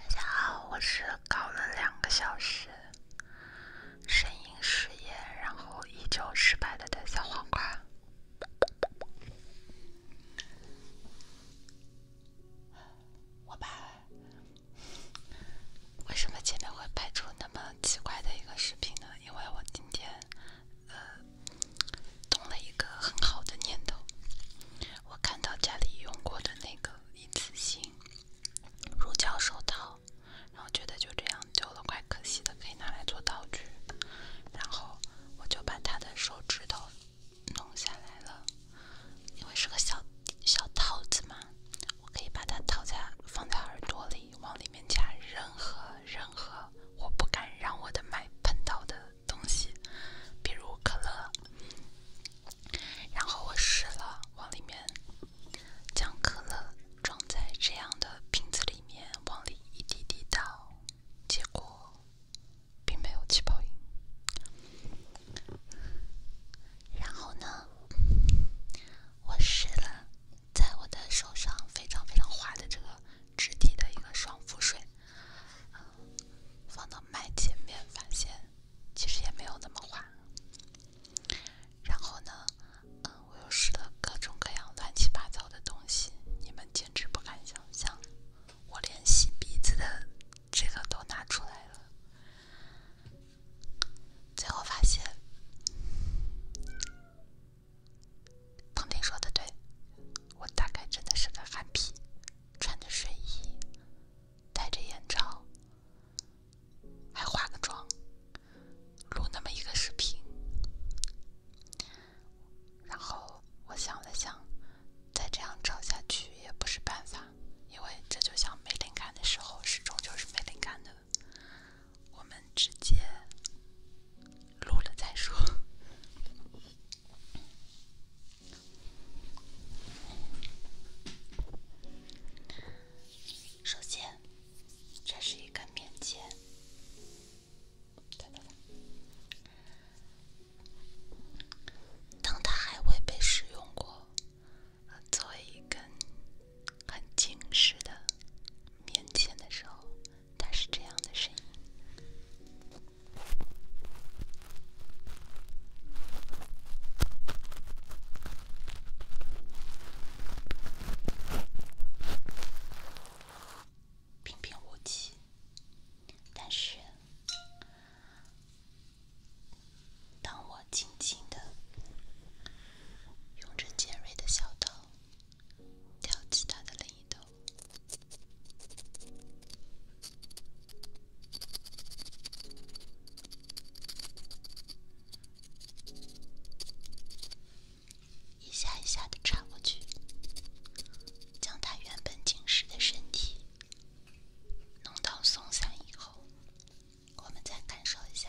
大家好，我是搞了两个小时声音试验，然后依旧失败的小黄瓜。我吧，为什么前面会拍出那么奇怪的一个视频呢？因为我今天，呃。动了一个很好的念头，我看到家里用过的那个一次性乳胶手套，然后觉得就这样丢了怪可惜的，可以拿来做道具。然后我就把它的手指头弄下来了，因为是个小小套子嘛，我可以把它套在放在耳朵里，往里。面加任何任何我不敢让我的麦碰到的东西，比如可乐。然后我试了，往里面将可乐装在这样的瓶子里面，往里一滴滴倒，结果并没有起泡音。然后呢，我试了，在我的手上非常非常滑的这个。质地的一个爽肤水，放到麦前面，发现其实也没有那么滑。然后呢，嗯，我又试了各种各样乱七八糟的东西，你们简直不敢想象，我连洗鼻子的这个都拿出来了。最后发现。唐婷说的对，我大概真的是个憨批，穿着睡衣，戴着眼罩，还化个妆，录那么一个视频。然后我想了想，再这样吵下去也不是办法，因为这就像没灵感的时候，始终就是没灵感的。我们直接录了再说。首先，这是一根棉签。当它还未被使用过，做一根很精致的棉签的时候。它是这样的声音，平平无奇。但是，当我轻轻的用着尖锐的小刀。挑起它的另一头，一下一下的缠过去，将它原本紧实的身体弄到松散以后，我们再感受一下。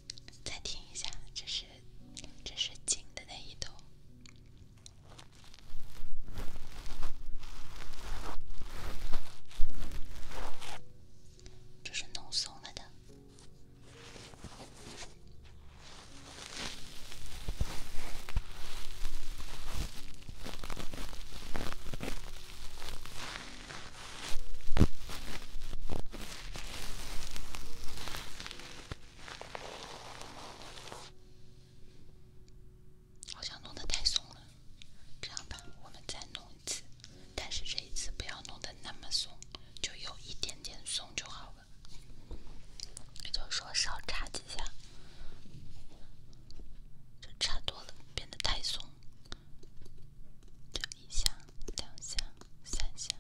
再听一下，这是，这是紧的那一头，这是弄松了的。好像弄得太松了，这样吧，我们再弄一次，但是这一次不要弄得那么松，就有一点点松就好了。就说少插几下，插多了，变得太松。这一下、两下、三下。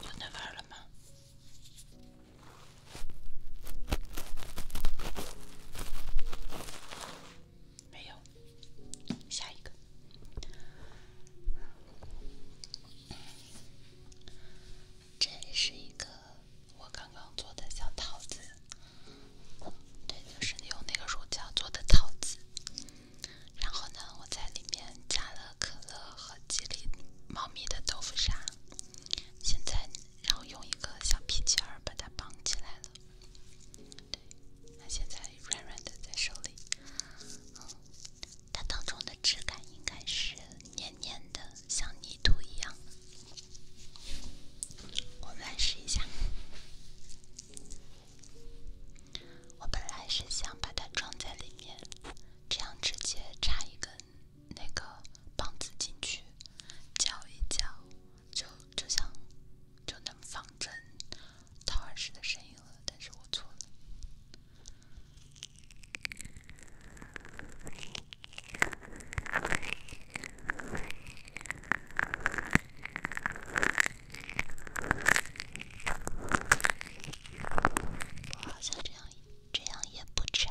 就那玩了吗？没有，下一个。这是一个我刚刚做的小桃子，对，就是用那个乳胶做的桃子。然后呢，我在里面加了可乐和几粒猫咪的豆腐沙，现在然后用一个小皮筋儿把它绑起来了。对，它现在软软的在手里，它当中的质感应该是黏黏的，像泥土一样。我们来试一下。我本来是想把它装在里面，这样直接插一根那个棒子进去，搅一搅，就就像就能仿真掏耳屎的声音了。但是我错了。我好像这样，这样也不长。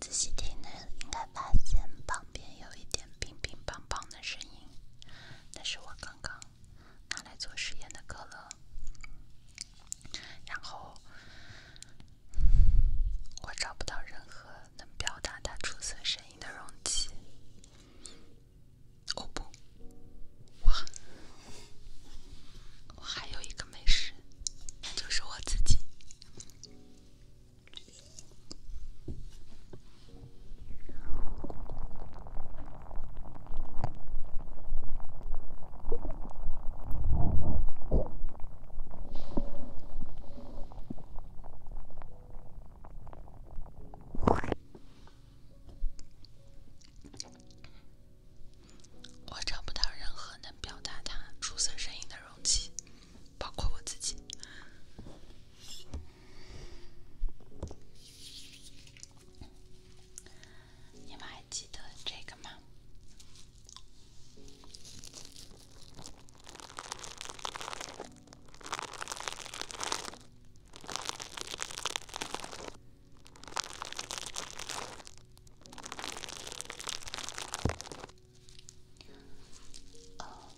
仔细听呢，应该发现旁边有一点乒乒乓乓的声音，那是我刚刚拿来做实验的可乐。然后我找不到任何能表达它出色声音的容器。我不，我还有一个美食，就是我自己。我找不到任何能表达他出色声音的容器，包括我自己。你们还记得这个吗？哦，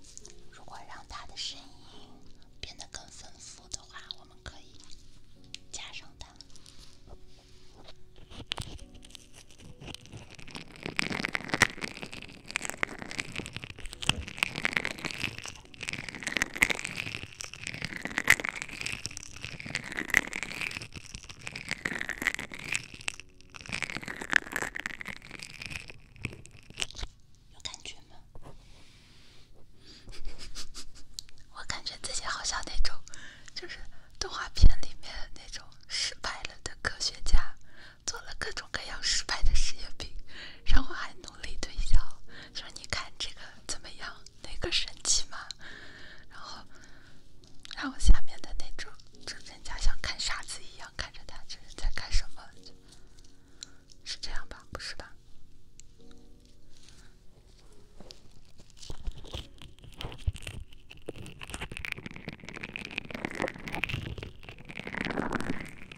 如果让他的声音变得更丰富的话，我们可以加上它。有感觉吗？我感觉自己好像那种，就是动画片里面那种失败了的科学家。做了各种各样失败的实验品，然后还努力推销，说你看这个怎么样？那个神奇吗？然后，然后下面的那种，就人家像看傻子一样看着他，这人在干什么？是这样吧？不是吧？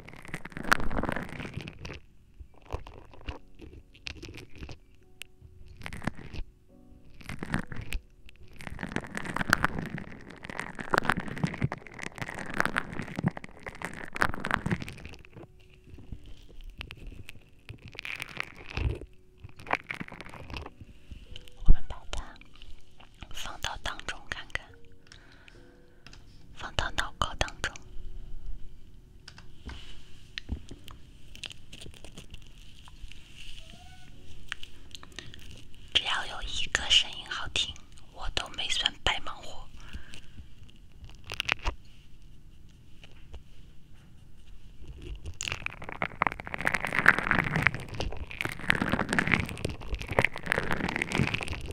我们把它放到当中看看。放到脑壳当中，只要有一个声音好听，我都没算白忙活。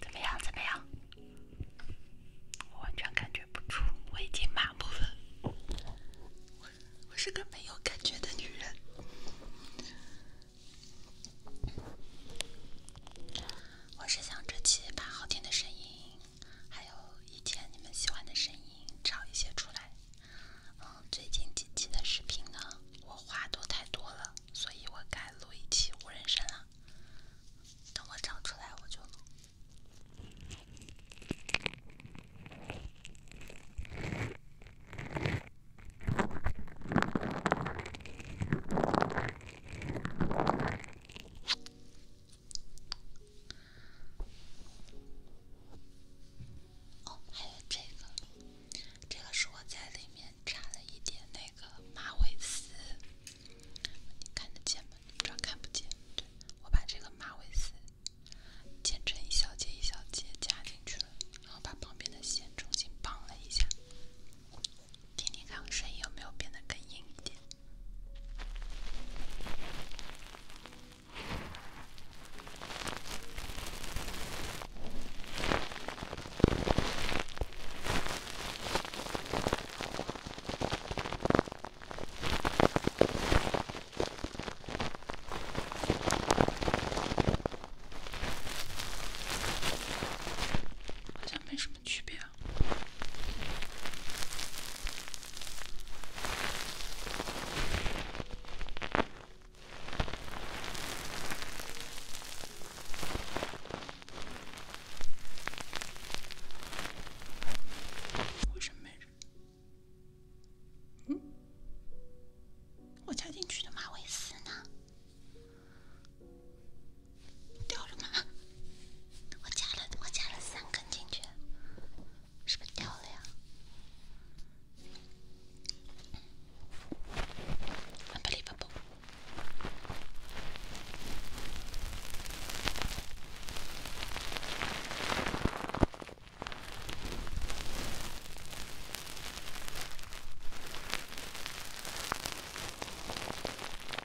怎么样？怎么样？我完全感觉不出，我已经麻木了。我，是个没有感觉的女人。我是想这期把好听的声音，还有以前你们喜欢的声音找一些出来。嗯，最近几期的视频呢，我话都太多了，所以我改录一期无人声了。等我找出来我就录。哦，还有这个，这个是我在里面插了一点那个马尾丝，你看得见吗？不知道看不见。我把这个马尾丝剪成一小节一小节夹进去了，然后把旁边的线重新绑了一下。听听看声音有没有变得更硬一点？好像没什么区别。为什么没人？我加进去的马尾丝呢？掉了吗？我加了，我加了三根进去，是不是掉了呀？啊，不离不崩。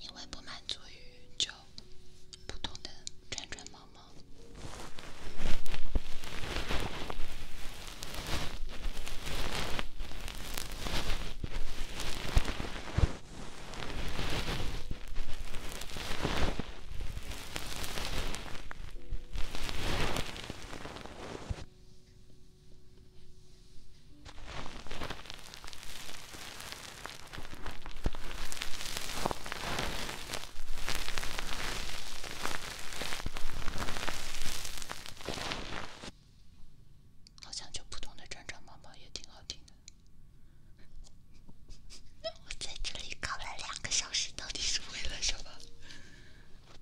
因为不满足于就普通的转转忙忙。好像就普通的《转转猫猫也挺好听的。我在这里搞了两个小时，到底是为了什么？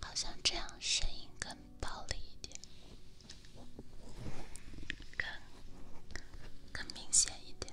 好像这样声音更暴力一点。更更明显一点。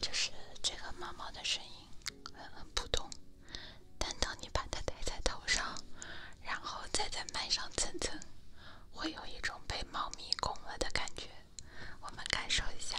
就是这个猫猫的声音很普通，但当你把它戴在头上，然后再在背上蹭蹭，会有一种被猫咪拱了的感觉。我们感受一下。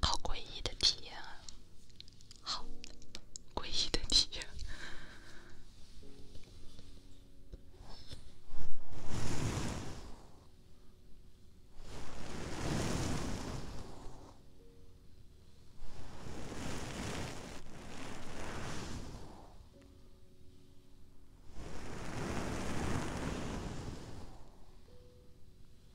好诡异的体验啊！好诡异的体验。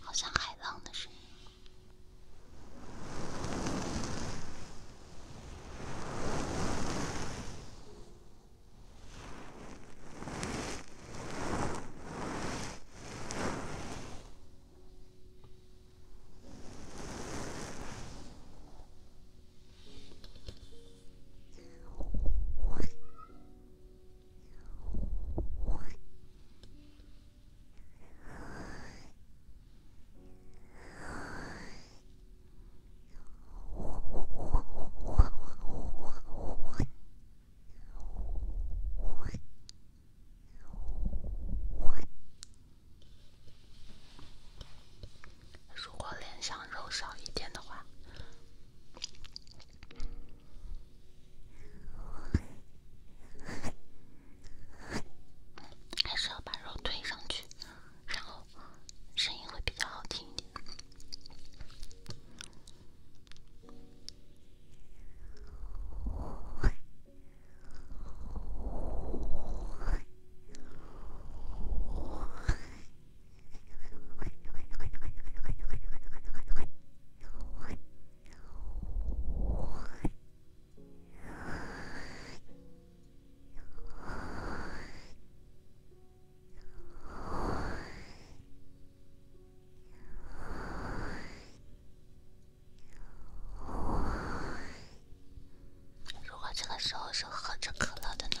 好像海浪的声音。如果脸上肉少一点的话。还是要把肉推上去，然后声音会比较好听一点。如果这个时候是喝着可乐的呢？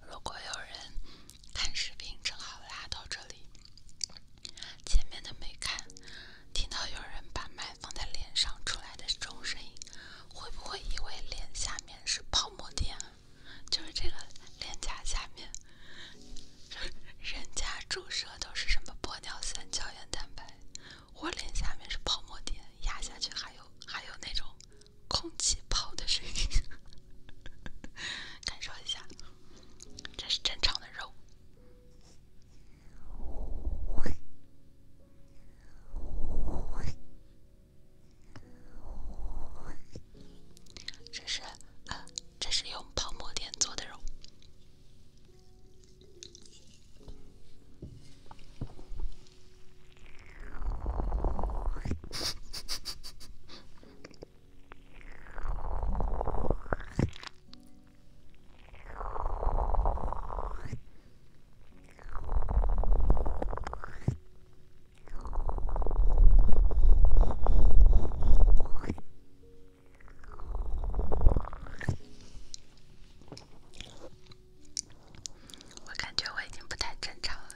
如果有人看视频，正好拉到这里，前面的没看，听到有人把麦放在脸上，出来的这种声音。会不会以为脸下面是泡沫垫？就是这个脸颊下面，人家注射都是什么玻尿酸、胶原蛋白，我脸下面是泡沫垫，压下去还有还有那种空气泡的声音，感受一下，这是正常的肉。这是，呃，这是用泡沫垫做的肉。我感觉我已经不太正常了。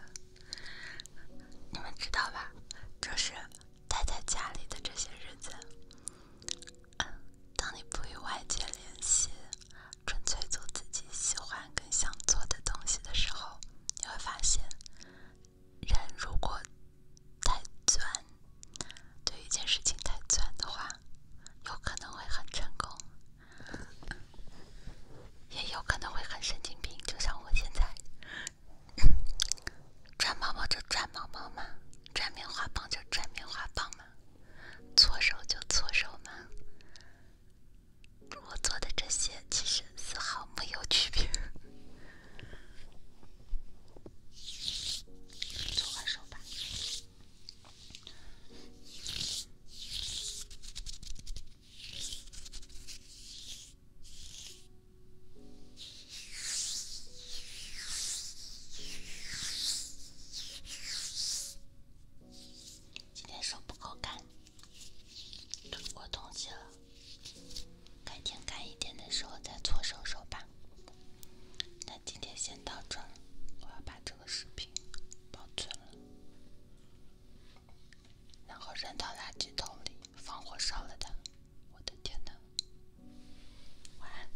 你们知道吧？就是待在家里的这些日子，当你不与外界联系。纯粹做自己喜欢、更想做的东西的时候，你会发现，人如果太钻，对一件事情太钻的话，有可能会很成功，也有可能会很神经病。就像我现在，钻毛毛就钻毛毛嘛，钻棉花棒就钻棉花棒嘛。搓手就搓手嘛，我做的这些其实丝毫没有区别，搓完手吧。今天手不够干，推过东西了。改天干一点的时候再搓手手吧。那今天先到这，儿，我要把这个视频保存了，然后扔到垃圾桶里，放火烧了它。我的天哪！晚安。